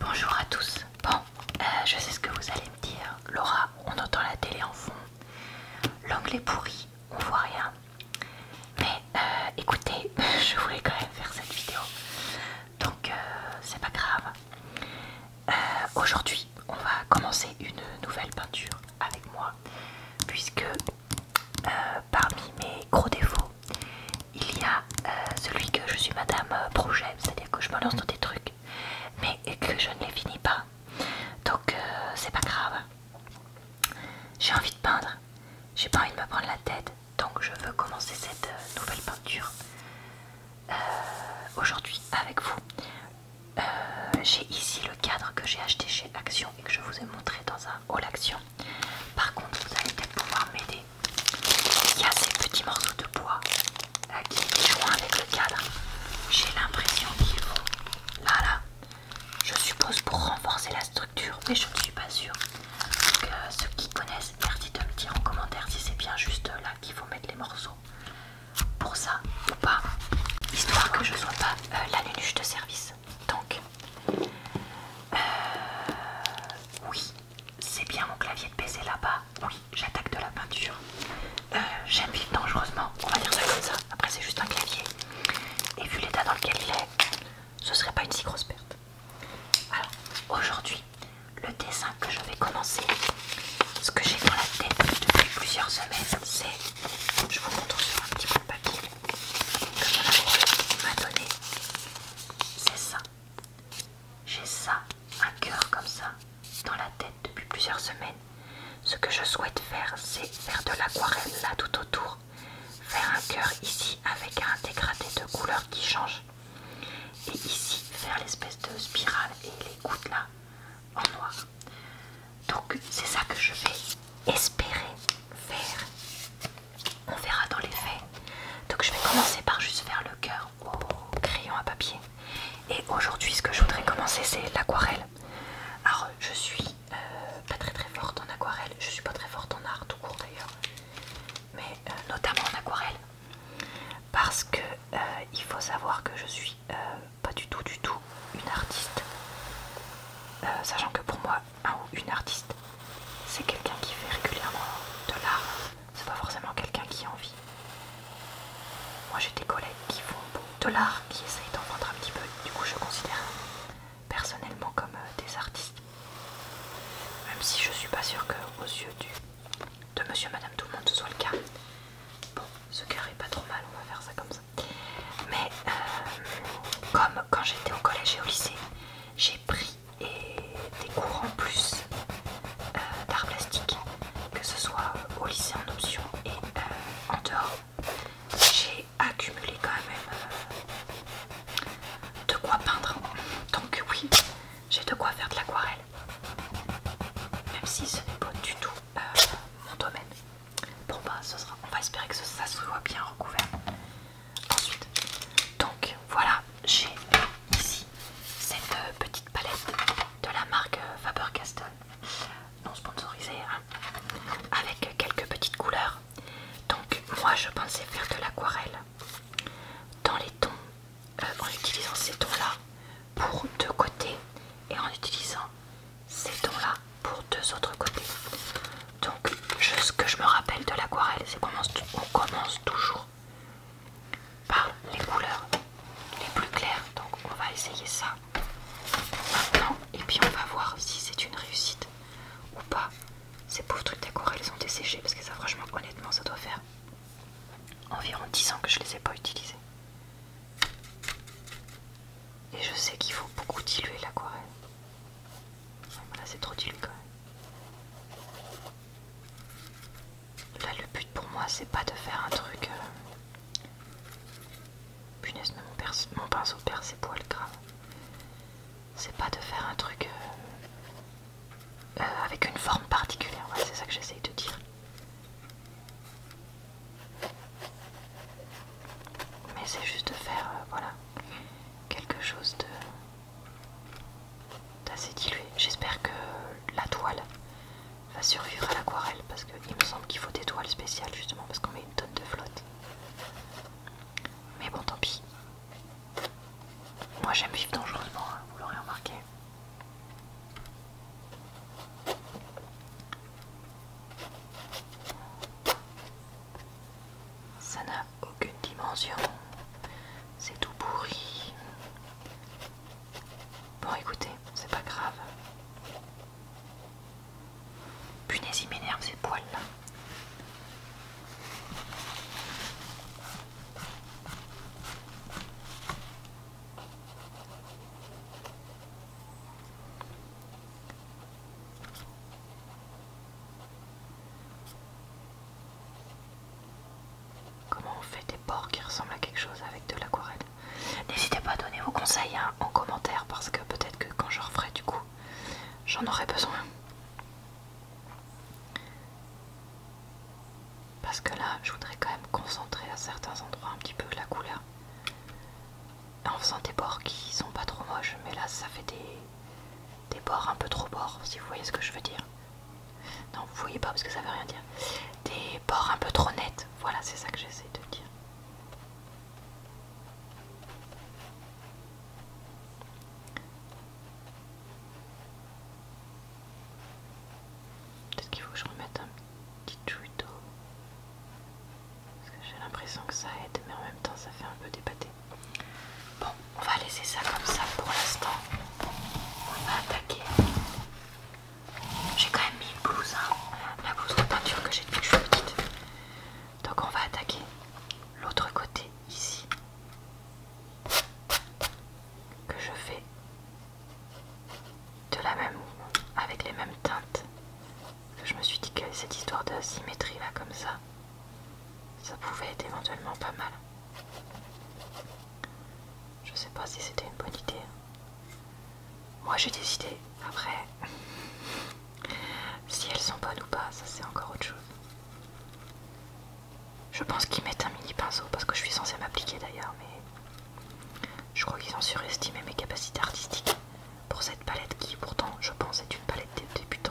Bonjour à tous. Bon, euh, je sais ce que vous allez me dire. Laura, on entend la télé en fond. L'angle pourri, on voit rien. Mais euh, écoutez, je voulais quand même faire cette vidéo. Donc, euh, c'est pas grave. Aujourd'hui, on va commencer une nouvelle peinture avec moi. Puisque parmi mes gros défauts, il y a euh, celui que je suis madame projet, c'est-à-dire que je me lance dans des trucs, mais que je ne les finis pas. Donc euh, c'est pas grave. J'ai envie de peindre, j'ai pas envie de me prendre la tête, donc je veux commencer cette euh, nouvelle peinture aujourd'hui avec vous. j'ai ici le cadre que j'ai acheté chez Action et que je vous ai montré dans un haul Action. Par contre, vous allez peut-être pouvoir m'aider. Il y a ces petits morceaux de bois euh, qui sont avec le cadre. J'ai l'impression qu'il vont là, là. Je suppose pour renforcer la structure, mais je ne suis pas sûre. Donc, euh, ceux qui connaissent, merci de me dire en commentaire si c'est bien juste euh, là qu'il faut mettre les morceaux pour ça ou pas, histoire que je sois pas la lunuche de service. Donc, oui, c'est bien mon clavier de PC là-bas. Oui, j'attaque de la peinture. Euh, j'aime vivre dangereusement, on va dire ça comme ça. Après, c'est juste un clavier. Et vu l'état dans lequel il est, ce ne serait pas une si grosse perte. Alors, aujourd'hui, le dessin que je vais commencer, ce que j'ai dans la tête depuis plusieurs semaines, c'est. Je vous montre sur un petit bout de papier que mon m'a donné. C'est ça. J'ai ça, un cœur comme ça, dans la tête depuis plusieurs semaines. Ce que je souhaite faire, c'est faire de l'aquarelle là tout autour. Faire un cœur ici avec un dégradé de couleurs qui change. Et ici, faire l'espèce de spirale et les gouttes là, en noir. Donc c'est ça que je vais espérer faire on verra dans les faits. Donc je vais commencer par juste faire le cœur au crayon à papier. Et aujourd'hui ce que je voudrais commencer c'est l'aquarelle. Alors je suis euh, pas très très forte en aquarelle, je suis pas très forte en art tout court d'ailleurs, mais euh, notamment en aquarelle. Parce que euh, il faut savoir que je suis pas du tout du tout une artiste. sachant que pour moi un ou une artiste, c'est quelqu'un qui fait régulièrement de l'art. C'est pas forcément quelqu'un qui en vit. Moi j'ai des collègues qui font de l'art, qui essayent d'en vendre un petit peu. Du coup je considère personnellement comme euh, des artistes. Même si je suis pas sûre que aux yeux du, de monsieur madame tout le monde ce soit le cas. Bon, ce est pas trop mal, on va faire ça comme ça. Mais euh, comme quand j'étais au collège et au lycée, j'ai j'ai pris et des cours en plus euh, d'art plastique, que ce soit euh, au lycée en option et euh, en dehors. J'ai accumulé quand même de quoi peindre. Donc oui, j'ai de quoi faire de l'aquarelle. Même si ce n'est pas du tout mon domaine. Bon bah ce sera. On va espérer que ça, ça soit bien recouvert ensuite. Donc voilà, j'ai ici cette euh, petite palette de la marque euh, Faber-Castell, non sponsorisée, hein, avec quelques petites couleurs. Donc moi je pensais faire de l'aquarelle dans les tons, euh, en utilisant ces tons-là pour deux côtés et en utilisant ces tons-là pour deux autres côtés. Donc ce que je me rappelle de l'aquarelle, c'est qu'on commence toujours par les couleurs les plus claires. Donc on va essayer ça maintenant et puis on va voir si c'est une réussite ou pas. Ces pauvres trucs d'aquarelle sont desséchés parce que ça franchement honnêtement ça doit faire environ 10 ans que je les ai pas utilisés. Et je sais qu'il faut beaucoup diluer l'aquarelle. Là, c'est trop utile quand même. Là, le but pour moi, c'est pas de faire un truc. Euh, punaise, mon, pinceau perd ses poils grave. C'est pas de faire un truc euh, euh, avec une forme particulière. c'est ça que j'essaye de dire mais c'est juste de faire euh, voilà quelque chose de d'assez dilué j'espère que la toile va survivre à l'aquarelle parce qu'il me semble qu'il faut des toiles spéciales justement parce qu'on met une tonne de flotte mais bon tant pis moi j'aime vivre dangereusement hein, vous l'aurez remarqué ça n'a aucune dimension. C'est tout pourri. Bon, écoutez, c'est pas grave. Punaise, m'énerve ces poils là. Comment on fait des bords qui ressemblent à quelque chose avec de l'aquarelle N'hésitez pas à donner vos conseils hein, en commentaire parce que peut-être que quand je referai du coup, j'en aurai besoin. Parce que là, je voudrais quand même concentrer à certains endroits un petit peu la couleur en faisant des bords qui sont pas trop moches, mais là ça fait des, des bords un peu trop bords, si vous voyez ce que je veux dire. Non, vous voyez pas parce que ça veut rien dire. Des bords un peu trop nets, voilà, c'est ça que j'essaie de dire. Peut-être qu'il faut que je remette un petit tuto parce que j'ai l'impression que ça aide, mais en même temps ça fait un peu débatté. Bon, on va laisser ça comme ça pour l'instant. On va attaquer. J'ai quand même mis le blouse, hein. la blouse de peinture que j'ai depuis que je suis petite. Donc on va attaquer l'autre côté ici. Que je fais de la même avec les mêmes teintes je me suis dit que cette histoire de symétrie là comme ça, ça pouvait être éventuellement pas mal. Je sais pas si c'était une bonne idée. Moi j'ai des idées. Après, si elles sont bonnes ou pas, ça c'est encore autre chose. Je pense qu'ils mettent un mini pinceau parce que je suis censée m'appliquer d'ailleurs, mais je crois qu'ils ont surestimé mes capacités artistiques pour cette palette qui pourtant je pense est une palette de débutants.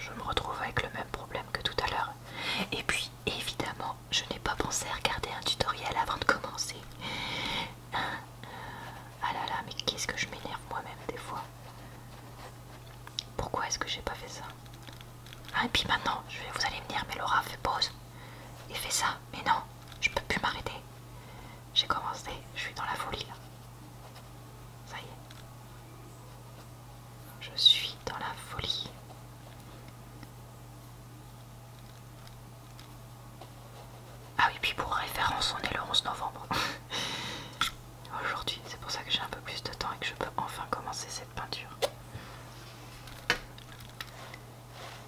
Je me retrouve avec le même problème que tout à l'heure. Et puis évidemment, je n'ai pas pensé à regarder un tutoriel avant de commencer. Ah là là, mais qu'est-ce que je m'énerve moi-même des fois. Pourquoi est-ce que j'ai pas fait ça Ah et puis maintenant, je vais, vous allez venir mais Laura, fais pause. Et fais ça. Mais non, je peux plus m'arrêter. J'ai commencé, je suis dans la folie là. Ça y est. Je suis dans la folie. Ah oui, puis pour référence, on est le 11 novembre. Aujourd'hui, c'est pour ça que j'ai un peu plus de temps et que je peux enfin commencer cette peinture.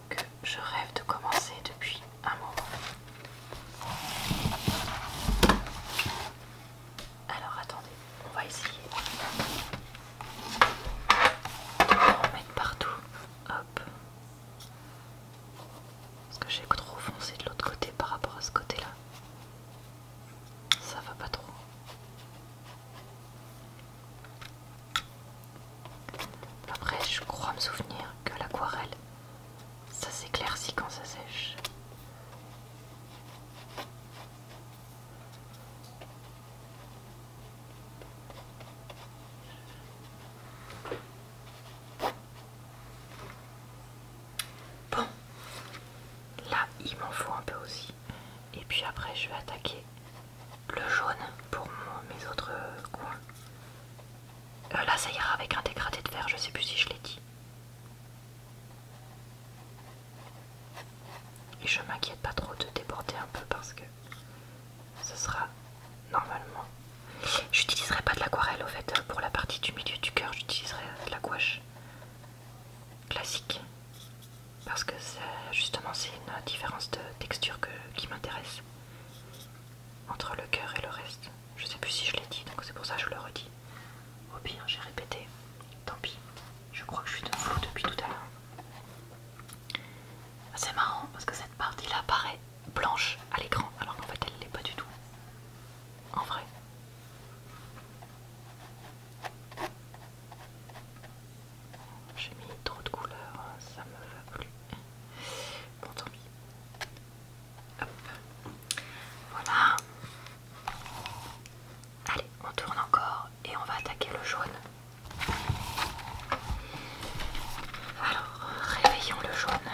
Que je rêve de commencer depuis un moment. Alors attendez, on va essayer de partout. Hop. Parce que j'ai trop foncé de l'autre côté par rapport à ce côté-là. Ça va pas trop. Après, je crois me souvenir que l'aquarelle, ça s'éclaircit quand ça sèche. Bon, là il m'en faut un peu aussi. Et puis après je vais attaquer le jaune pour mes autres coins. Euh, là ça ira avec un dégradé de vert, je sais plus si je l'ai dit. Et je m'inquiète pas trop de déborder un peu parce que ce sera normalement. J'utiliserai pas de l'aquarelle au fait, pour la partie du milieu du cœur, j'utiliserai de la gouache classique parce que justement c'est une différence de texture qui m'intéresse entre le cœur et le reste. Je sais plus si je l'ai dit donc c'est pour ça je le redis. Au pire, j'ai répété, tant pis, je crois que je suis de fou depuis tout à l'heure. C'est marrant parce que cette partie là, apparaît blanche à l'écran alors qu'en fait elle ne l'est pas du tout. En vrai. J'ai mis trop de couleurs, hein, ça me va plus. Bon tant Voilà. Allez, on tourne encore et on va attaquer le jaune. Alors, réveillons le jaune.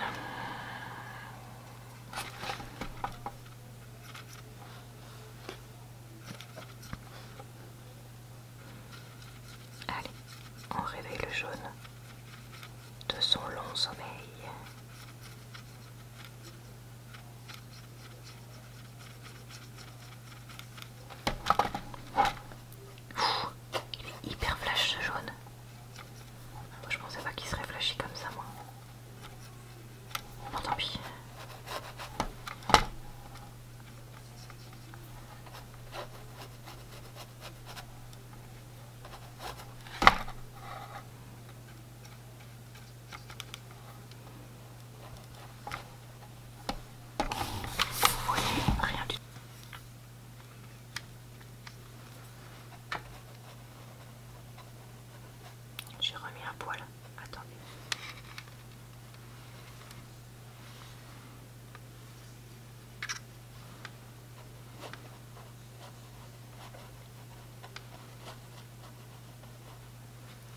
Allez, on réveille le jaune de son long sommeil il est hyper flash ce jaune. Moi je pensais pas qu'il serait flashy comme ça moi. tant pis rien du tout. J'ai remis un poil. Attendez.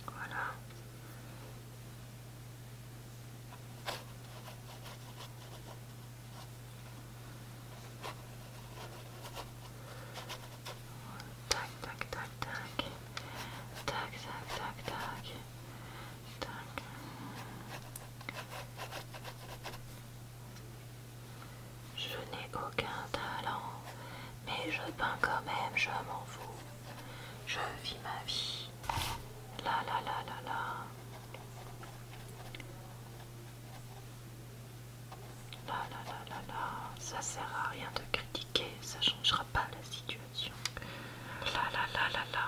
Voilà. Tac, tac, tac, tac. Tac, Je n'ai aucun talent, mais je peins quand même, je m'en fous. Je vis ma vie. La la la la la. La la la la la. Ça sert à rien de critiquer, ça changera pas la situation. La la la la la.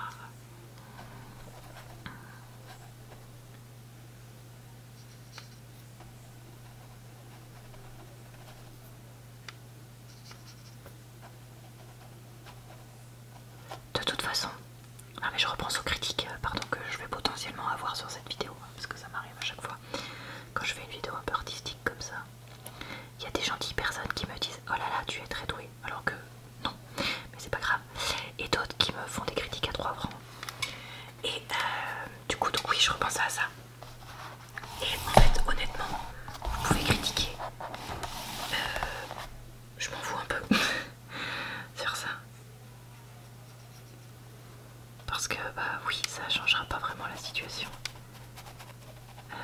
De toute façon, mais je repense aux critiques euh, pardon, que je vais potentiellement avoir sur cette vidéo, hein, parce que ça m'arrive à chaque fois. Quand je fais une vidéo un peu artistique comme ça, il y a des gentilles personnes qui me disent Oh là là, tu es très douée alors que non, mais c'est pas grave. Et d'autres qui me font des critiques à trois francs. Et euh, du coup, donc oui, je repense à ça. Et en fait, honnêtement, vous pouvez critiquer. Euh, je m'en voue un peu faire ça. Parce que, bah oui, ça changera pas vraiment la situation. Euh,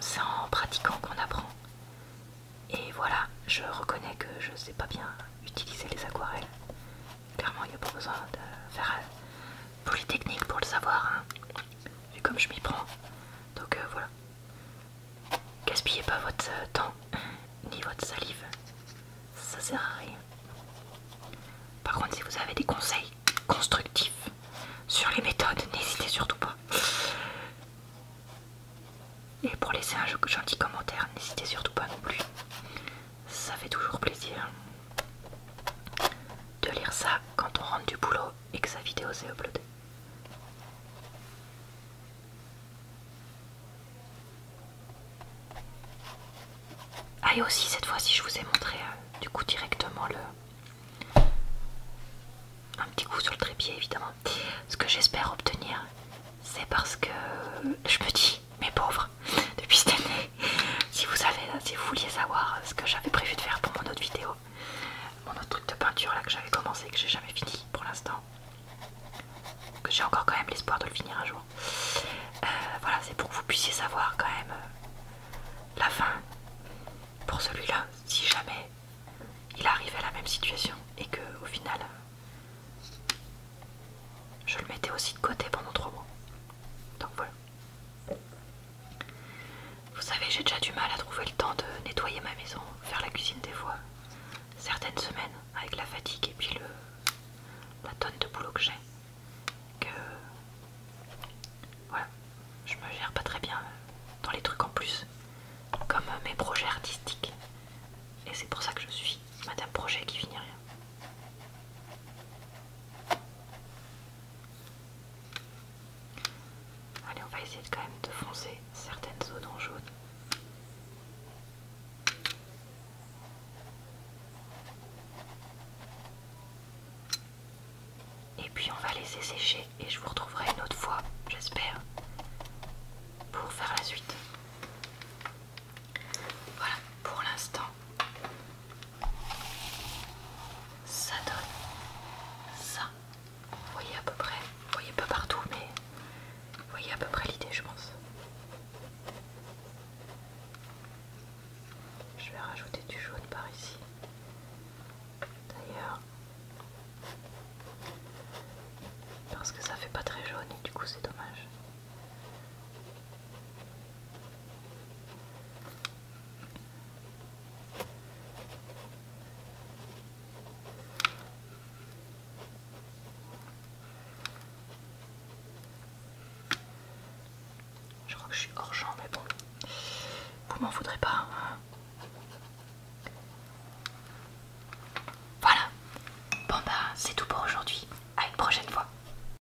c'est en pratiquant qu'on apprend. Et voilà, je reconnais que je sais pas bien utiliser les aquarelles. Clairement, il n'y a pas besoin de faire euh, polytechnique pour le savoir. Hein vu comme je m'y prends. Donc euh, voilà. Gaspillez pas votre euh, temps ni votre salive. Ça sert à rien. Par contre, si vous avez des conseils constructifs sur les méthodes, n'hésitez surtout pas. Et pour laisser un gentil commentaire, n'hésitez surtout pas non plus. Ça fait toujours plaisir de lire ça quand on rentre du boulot et que sa vidéo s'est uploadée. Ah et aussi cette fois-ci je vous ai montré euh, du coup directement le un petit coup sur le trépied évidemment. Ce que j'espère obtenir c'est parce que je me dis mes pauvres depuis cette année si vous savez, si vouliez savoir ce que j'avais prévu de faire pour mon autre vidéo, mon autre truc de peinture là que j'avais commencé et que j'ai jamais fini pour l'instant, que j'ai encore quand même l'espoir de le finir un jour. Euh, voilà, c'est pour que vous puissiez savoir quand même euh, la fin pour celui-là, si jamais il arrivait à la même situation et que au final euh, je le mettais aussi de côté pendant trois mois. Donc voilà. Vous savez, j'ai déjà du mal à trouver le temps de nettoyer ma maison, faire la cuisine des fois. Certaines semaines, avec la fatigue et puis la tonne de boulot que j'ai, que voilà, je me gère pas très bien euh, dans les trucs en plus, comme euh, mes projets artistiques. Et c'est pour ça que je suis Madame Projet qui finit rien. Allez, on va essayer quand même de foncer certaines zones en jaune. Et puis on va laisser sécher et je vous retrouverai une autre fois, j'espère, pour faire la suite. Voilà, pour l'instant, ça donne ça. Vous voyez à peu près, vous voyez pas partout, mais vous voyez à peu près l'idée, je pense. Je vais rajouter du jaune par ici. D'ailleurs, parce que ça fait pas très jaune et du coup c'est dommage. Je crois que je suis hors champ, mais bon, vous m'en voudrez pas. Hein. Voilà, bon bah c'est tout pour aujourd'hui, à une prochaine fois.